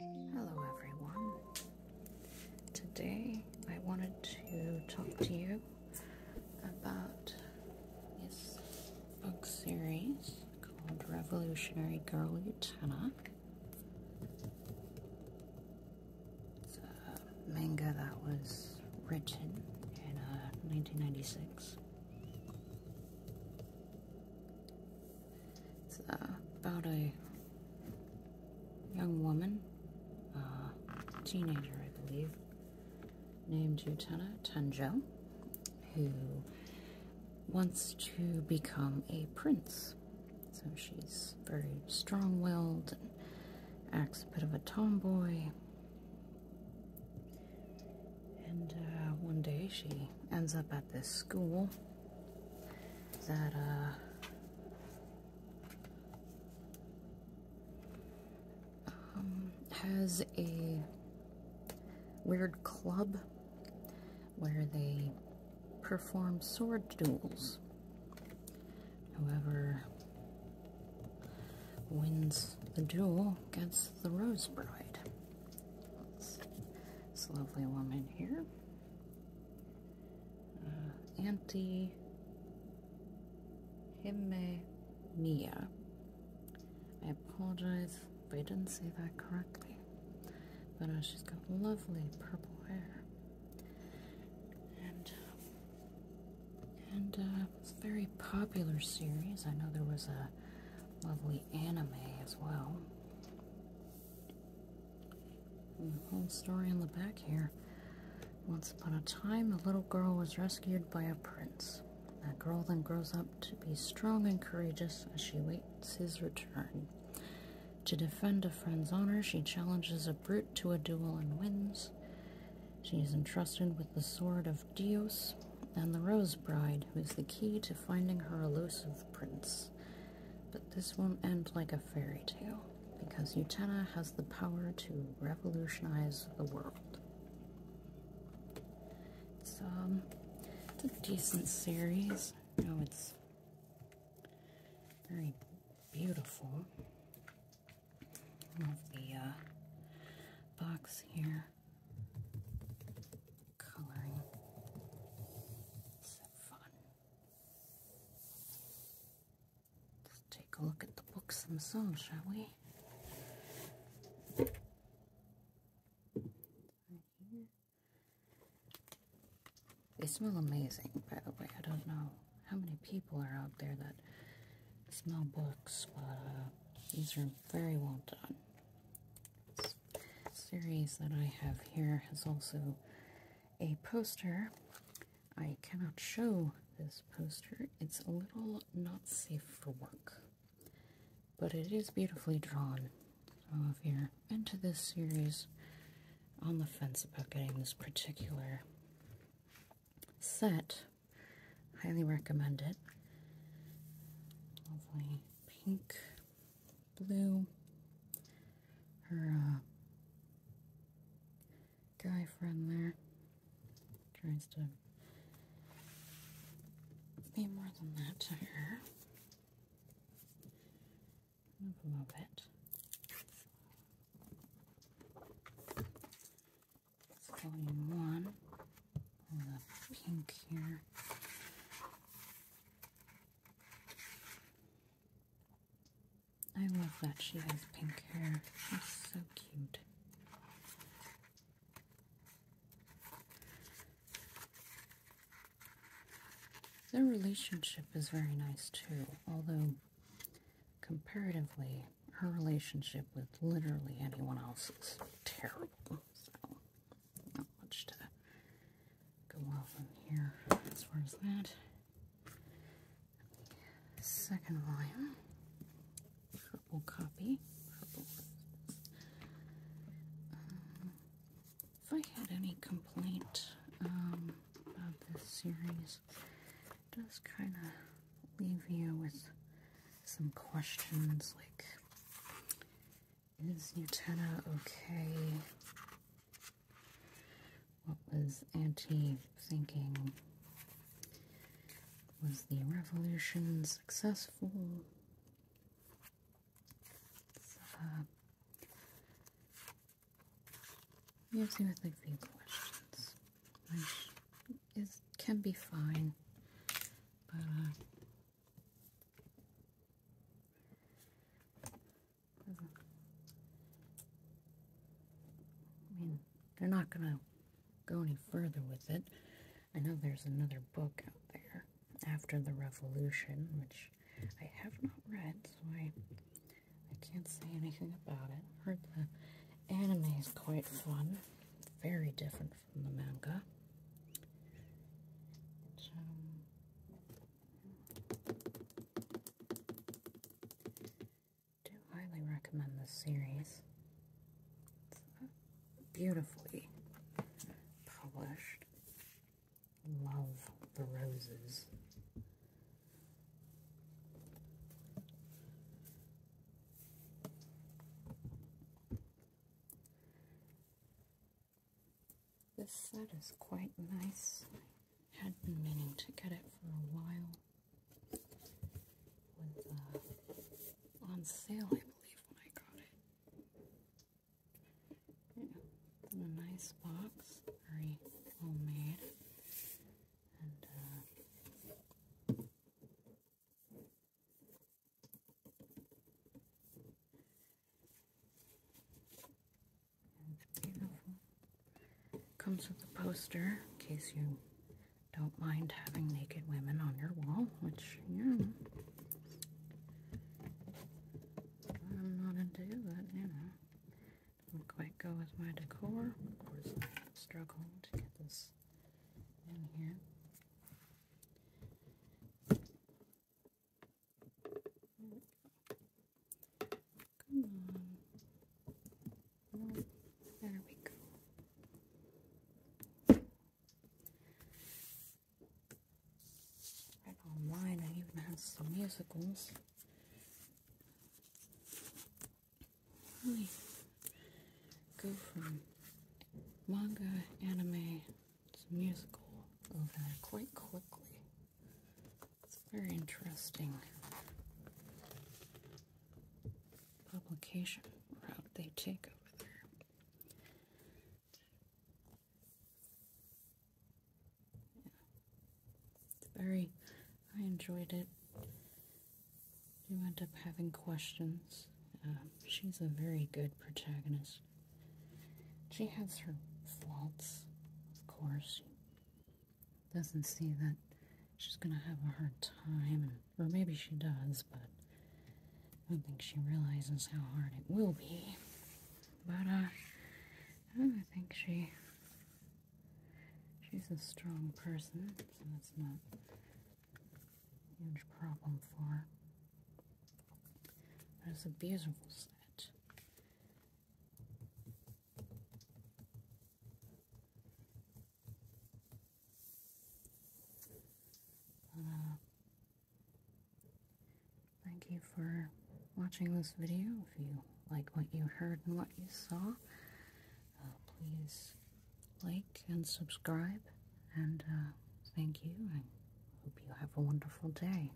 Hello everyone. Today I wanted to talk to you about this book series called Revolutionary Girl Utena. It's a manga that was written in 1996. Uh, it's uh, about a young woman, uh, teenager, I believe, named Utena Tenjo, who wants to become a prince. So she's very strong willed and acts a bit of a tomboy. And uh, one day she ends up at this school that uh, um, has a weird club where they perform sword duels. Whoever wins the duel gets the rose bride. This lovely woman here. Uh, Auntie Himemia. I apologize if I didn't say that correctly. But uh, she's got lovely purple hair. And, uh, and, a very popular series. I know there was a lovely anime as well. And the whole story in the back here. Once upon a time, a little girl was rescued by a prince. That girl then grows up to be strong and courageous as she waits his return. To defend a friend's honor, she challenges a brute to a duel and wins. She is entrusted with the sword of Dios and the Rose Bride, who is the key to finding her elusive prince. But this won't end like a fairy tale, because Utena has the power to revolutionize the world. Um, it's, a decent series. You know, it's very beautiful of the uh, box here. Coloring. fun. Let's take a look at the books themselves, shall we? They smell amazing, by the way. I don't know how many people are out there that smell books, but uh, these are very well done. This series that I have here has also a poster. I cannot show this poster, it's a little not safe for work, but it is beautifully drawn. So if you're into this series, on the fence about getting this particular set. Highly recommend it. Lovely pink, blue. Her uh, guy friend there tries to be more than that to her love it. It's volume one. All the pink here. I love that she has pink hair. She's so cute. Their relationship is very nice too, although comparatively, her relationship with literally anyone else is terrible. So, not much to go off on here as far as that. Second volume, triple copy, if I had any complaint um, about this series, it does kind of leave you with some questions like, is Utena okay? What was Anti thinking? Was the revolution successful? Yes, have would like the questions, which is can be fine, but uh, I mean they're not gonna go any further with it. I know there's another book out there after the Revolution, which I have not read, so I, I can't say anything about it. Heard the anime is quite fun, very different from the manga. Um, do highly recommend this series beautifully polished. Love the roses. This set is quite nice. I had been meaning to get it for a while. was uh, on sale, I believe, when I got it a nice box, very well made, uh, and it's beautiful. Comes with a poster in case you don't mind having naked women on your wall, which, yeah, I'm not into, but, you know, not quite go with my decor. Of course, I to get this in here. Come on. There we go. Right online, I even have some musicals. Really go from manga, anime to musical over there quite quickly. It's very interesting publication route they take over there. It's very, I enjoyed it. You end up having questions. Um, she's a very good protagonist. She has her faults, of course doesn't see that she's going to have a hard time, or maybe she does, but I don't think she realizes how hard it will be. But uh, I think she she's a strong person, so that's not a huge problem for her. But a beautiful set. Uh, thank you for watching this video. If you like what you heard and what you saw, uh, please like and subscribe. And uh, thank you. I hope you have a wonderful day.